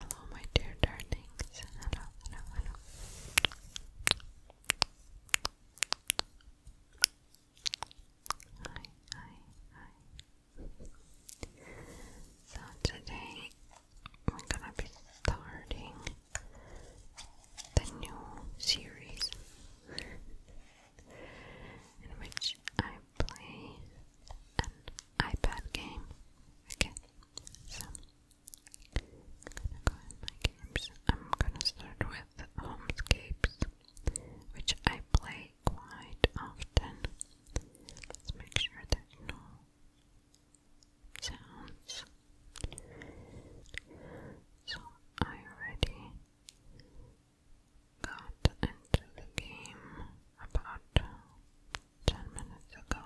Hello, my dear darlings. Hello, hello, hello. Hi, hi, hi. So, today we're gonna be starting the new series in which I play an iPad game again. So I'm gonna my games. I'm gonna start with homescapes, which I play quite often. Let's make sure there's no sounds. So I already got into the game about ten minutes ago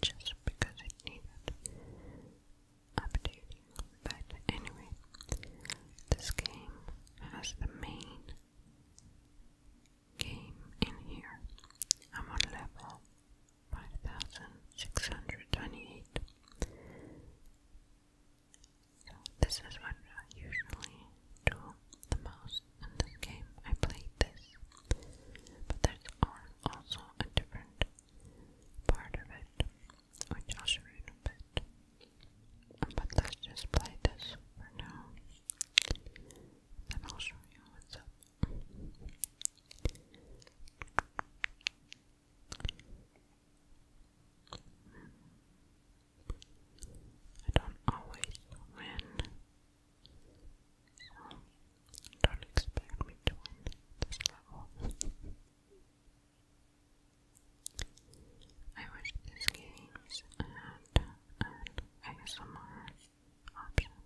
just because it needed updating. But anyway, this game has the main game in here. I'm on level 5628. So this is what I usually do the most in this game. I played this. But there's also a different part of it, which I'll show you in a bit. But let's just play this for now. Then I'll show you what's up. I don't always win don't expect me to win this level. I wish these games had a ASMR option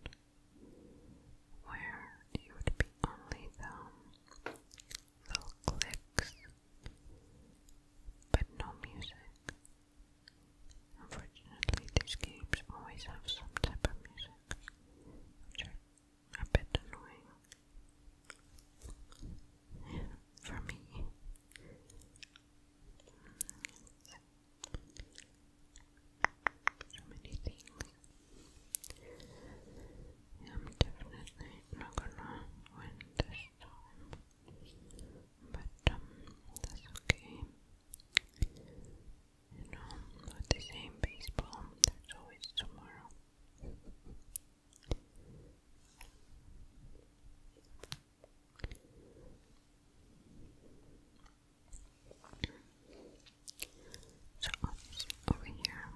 where it would be only the little clicks but no music. Unfortunately, these games always have some type of music, which are a annoying for me. So many things. I'm definitely not gonna win this time, but um, that's okay. You know, but the same baseball, there's always tomorrow. So over here,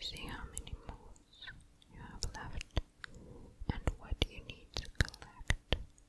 see how many moves you have left and what you need to collect.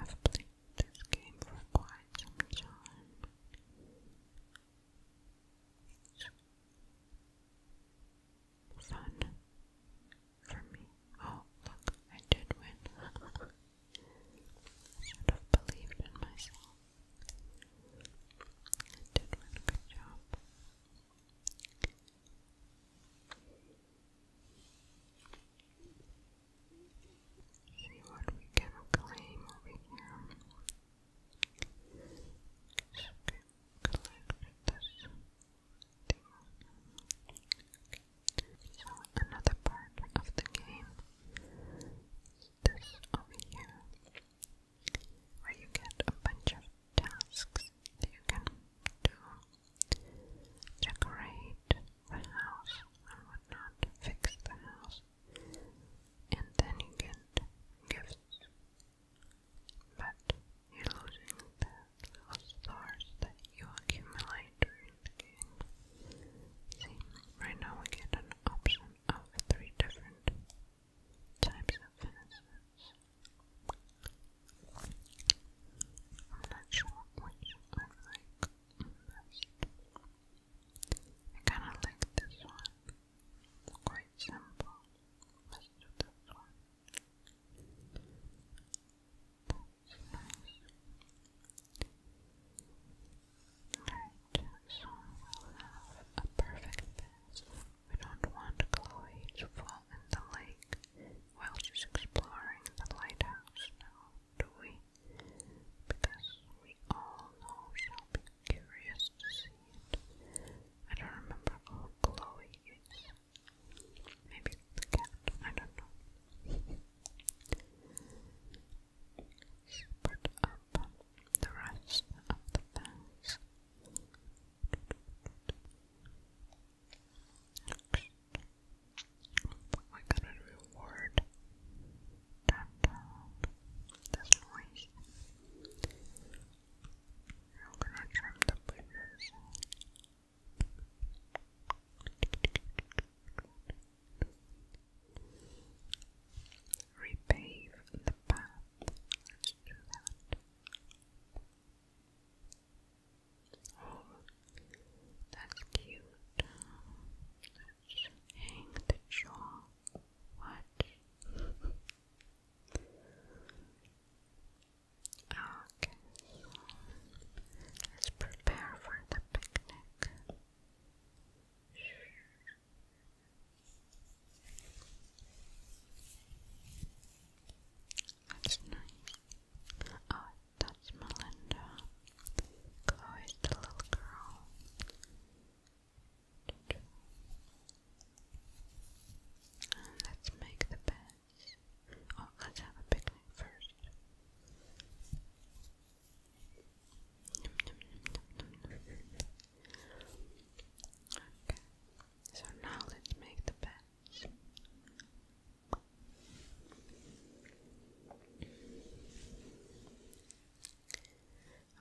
I've played this game for quite some time fun for me. Oh, look, I did win. should have believed in myself. did win. Good job. See what we can claim over here. Just collect this two. another part of the game is over here, where you get a bunch of tasks that you can do, decorate the house and whatnot, fix the house, and then you get gifts but you're losing the stars that you accumulate during the game. See, right now we get an option of three different types of fences. I'm not sure which I like I kinda like this one. It's quite simple. Let's Alright, so we'll have a perfect pass. We don't want Chloe to fall in the lake while she's exploring the lighthouse now, do we? Because we all know she'll be curious to see it. I don't remember oh, Chloe Maybe it's the cat, I don't know. Put up the rest of the fence. Next, we got a reward. Downtown. This noise. I'm gonna trim the bushes. Repave the path. Let's do that. Oh, that's cute. hang the jaw. What? Okay, so let's prepare for the picnic. That's nice. Oh, that's Melinda. Chloe's the little girl. let's make the bed. Oh, let's have a picnic first. Okay, so now let's make the beds.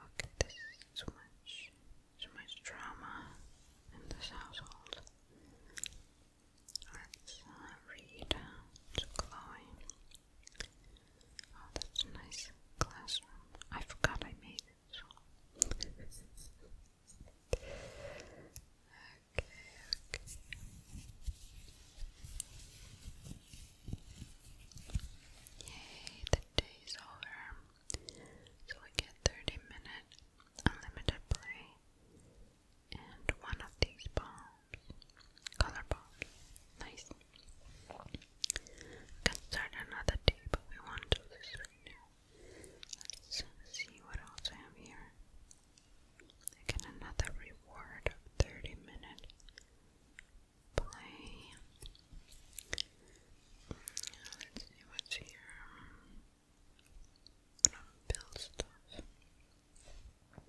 Okay, this is too much, too much drama in this household. Let's uh, read to Chloe. Oh, that's nice classroom. I forgot I made it. okay, okay. Yay, the day over. So we get 30 minutes unlimited play, and one of these bombs, color bombs. Nice. can start another day, but we won't do this right now. Let's see what else I have here. I another reward 30 minute play. Let's see what's here build stuff. Tap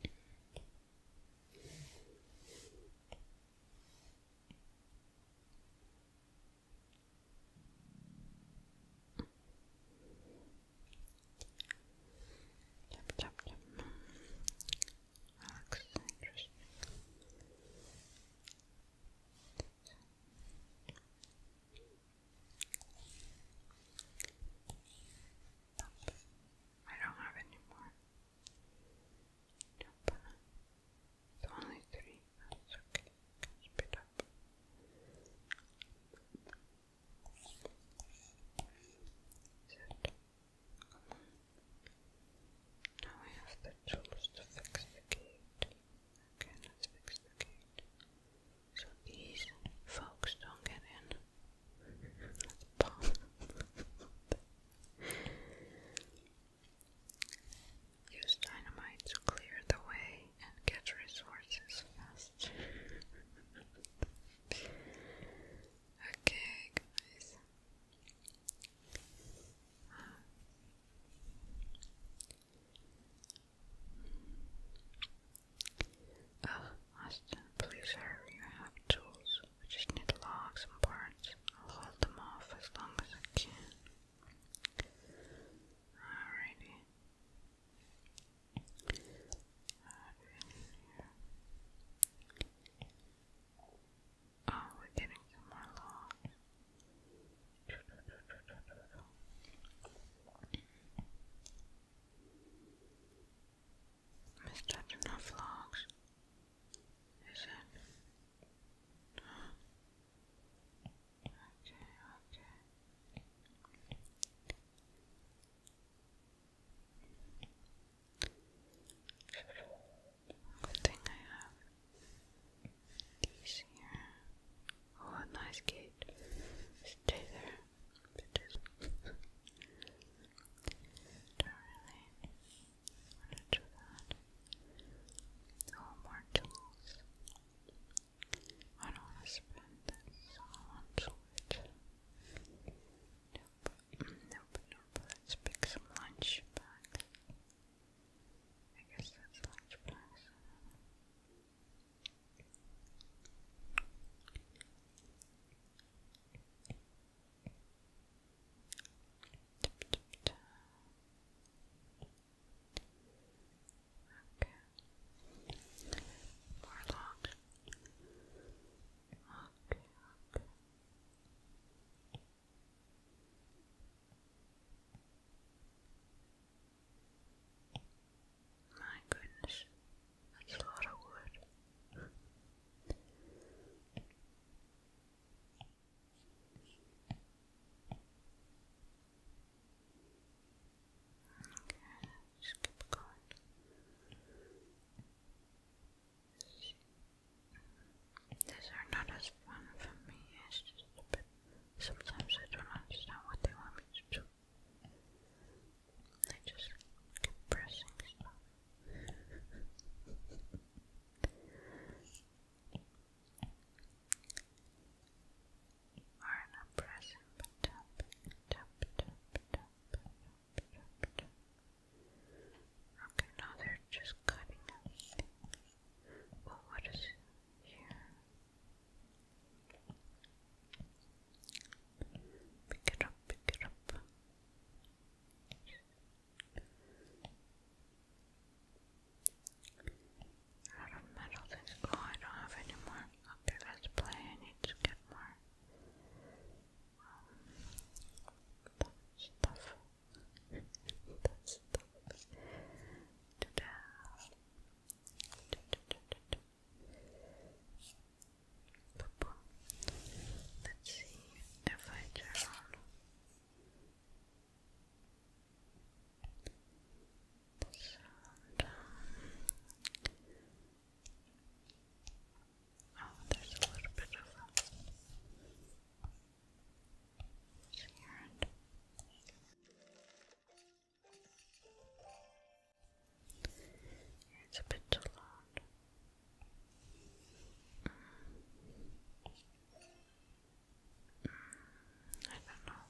tap tap. interesting. Nope. I don't have any more. only three. That's okay. Can spit up. Sit. Come on. Now we have the tools to fix the gate. Okay, let's fix the gate so these folks don't get in. Use dynamite to clear the way and get resources fast. okay, guys. Oh, Austin, please hurry. I have tools. I just need logs and parts. I'll hold them off as long as I can. Alrighty. Oh, we're getting some more logs. Mr. Juna Vlogs, is it? Okay, okay. Good thing I have these here. Oh, a nice gate. Stay there. Bitches. Don't really want to do that. No more tools. I don't want to spend this all on switch. Nope, nope, nope. Let's pick some lunch back. I guess that's lunch bags. Okay. More long. Okay, okay. Okay. My goodness, that's a lot of wood. just keep going. These are not as fun for me, it's just a Sometimes I don't understand what they want me to do. I just keep pressing stuff. Alright, i tap, tap, tap, tap, tap, Okay, now they're just cutting everything. what is here? Pick it up, pick it up. Out of metal things. Oh, I don't have any more. Okay, let's play. I need to get more um, Purple. Let's see if I turn on the sound. Oh, there's a little bit of a sound. It's a bit too loud. Mm. I don't know.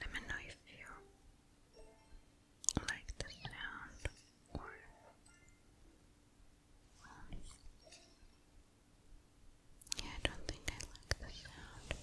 Let me know if you like the sound um, yeah, I don't think I like the sound.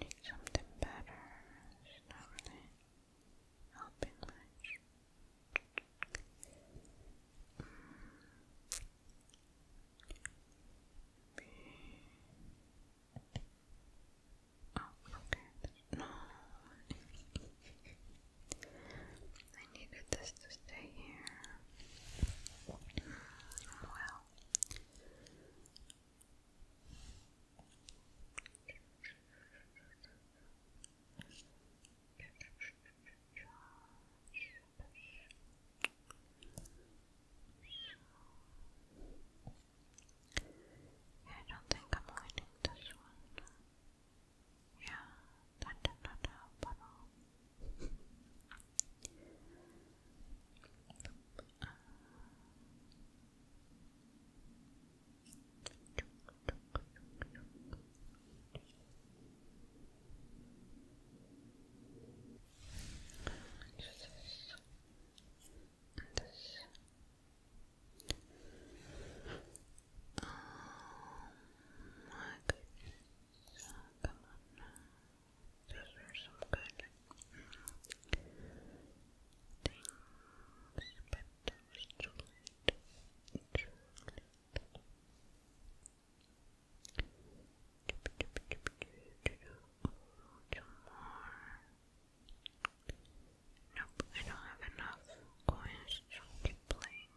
Need something better. It's not really helping much. Mm. Oh, okay. No. I needed this to stay here. Mm, well. I don't think I'm winning this yeah, that did not help at all. Okay. So, come on now. some good things, but that was too late. Too Two more. Nope, I don't have enough coins to keep playing,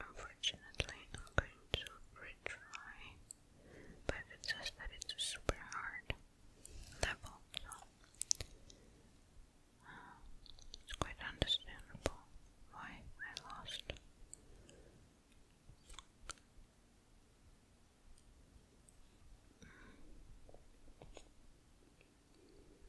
Unfortunately, I'm going to retry, but it's just that it's a super hard level, so uh, it's quite understandable why I lost.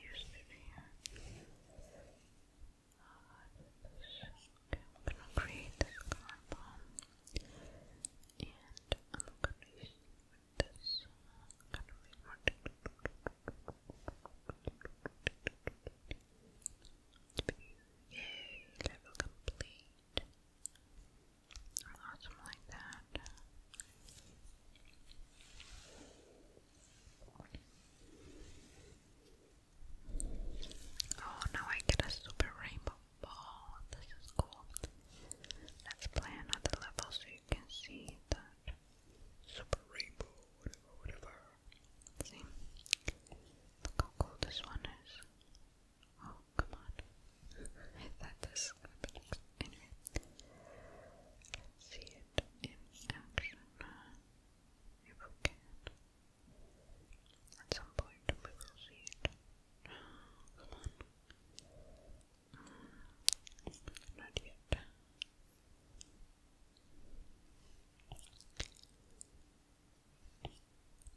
used to I'm gonna create this card and I'm gonna use this. I'm going Yay, level complete. awesome like that. Oh, now I get a super rainbow ball. This is cool. Let's play another level so you can see that super rainbow, whatever, whatever. See? Look how cool this one is. Oh, come on. I thought this Anyway, see it in action if we At some point we will see it. Come on. Mm, not yet.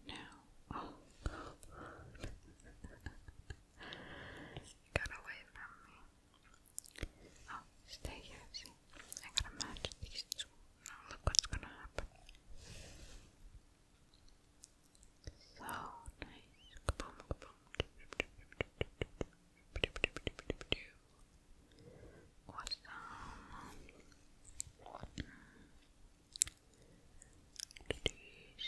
No. Oh away from me. Oh, stay here, see? I gotta match these two. Now look what's gonna happen. So nice. Kaboom, kaboom. Awesome. These.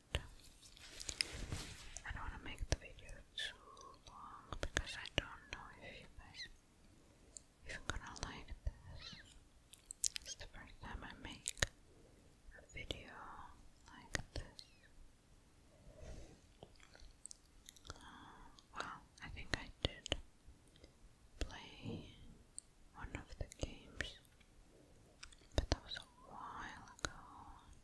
I don't want to make the video too long because I don't know if you guys even gonna like this. It's the first time I make a video like this. Uh, well, I think I did play one of the games, but that was a while ago.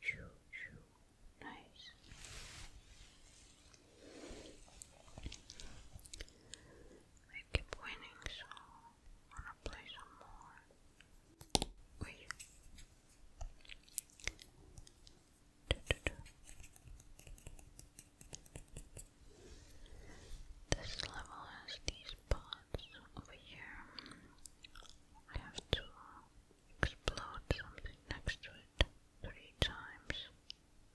Shoo, shoo. Nice. I keep winning, so wanna play some more. Wait. This level has these pots over here. I have to explode something next to it three times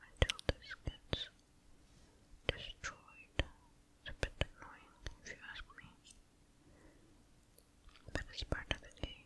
until this gets destroyed. a bit annoying if you ask me. But it's part of the game,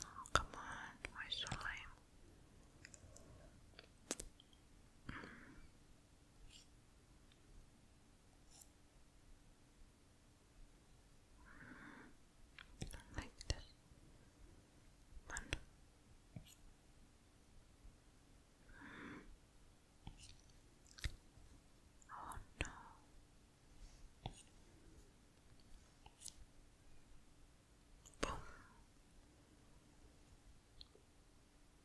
Oh, come on, my slime. Mm like this Oh no. Boom.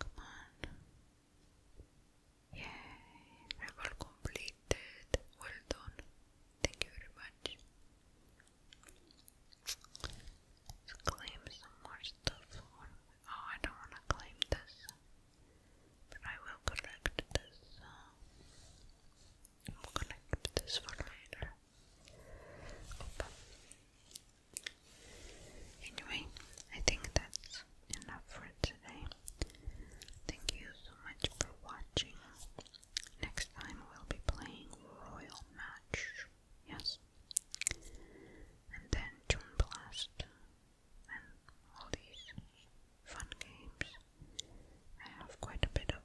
Come on. Yay, level completed. Well done. Thank you very much claim some more stuff. Oh, I don't want to claim this, but I will collect this. Uh, collect this for later. Anyway, I think that's enough for today. Thank you so much for watching. Next time we'll be playing Royal Match. Yes. And then June Blast and all these fun games. I have quite a bit of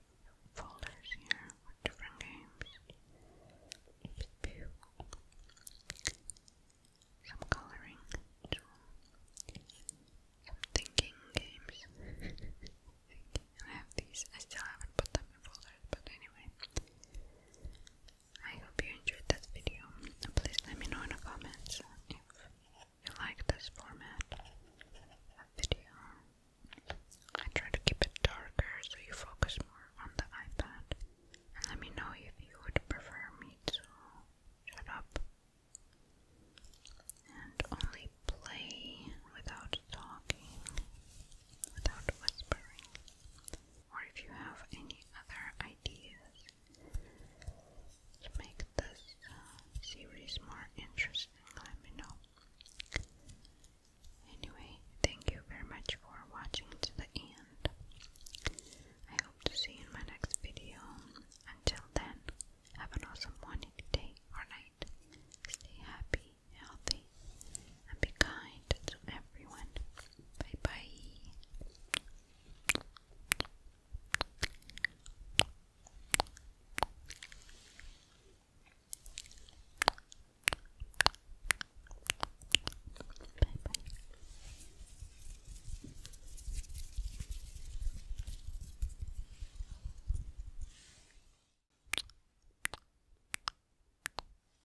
folders here with different games. Some coloring Some thinking games. I have these. I still haven't put them in folders, but anyway. I hope you enjoyed this video. Please let me know in the comments if you like this format of video. I try to keep it darker so you focus more on the iPad. let me know if you would prefer me to shut up and only play without talking, without whispering or if you have any other ideas to make this uh, series more interesting, let me know. Anyway, thank you very much for watching to the end. I hope to see you in my next video. Until then, have an awesome morning, day, or night. Stay happy, healthy, and be kind to everyone. Bye bye. Bye bye.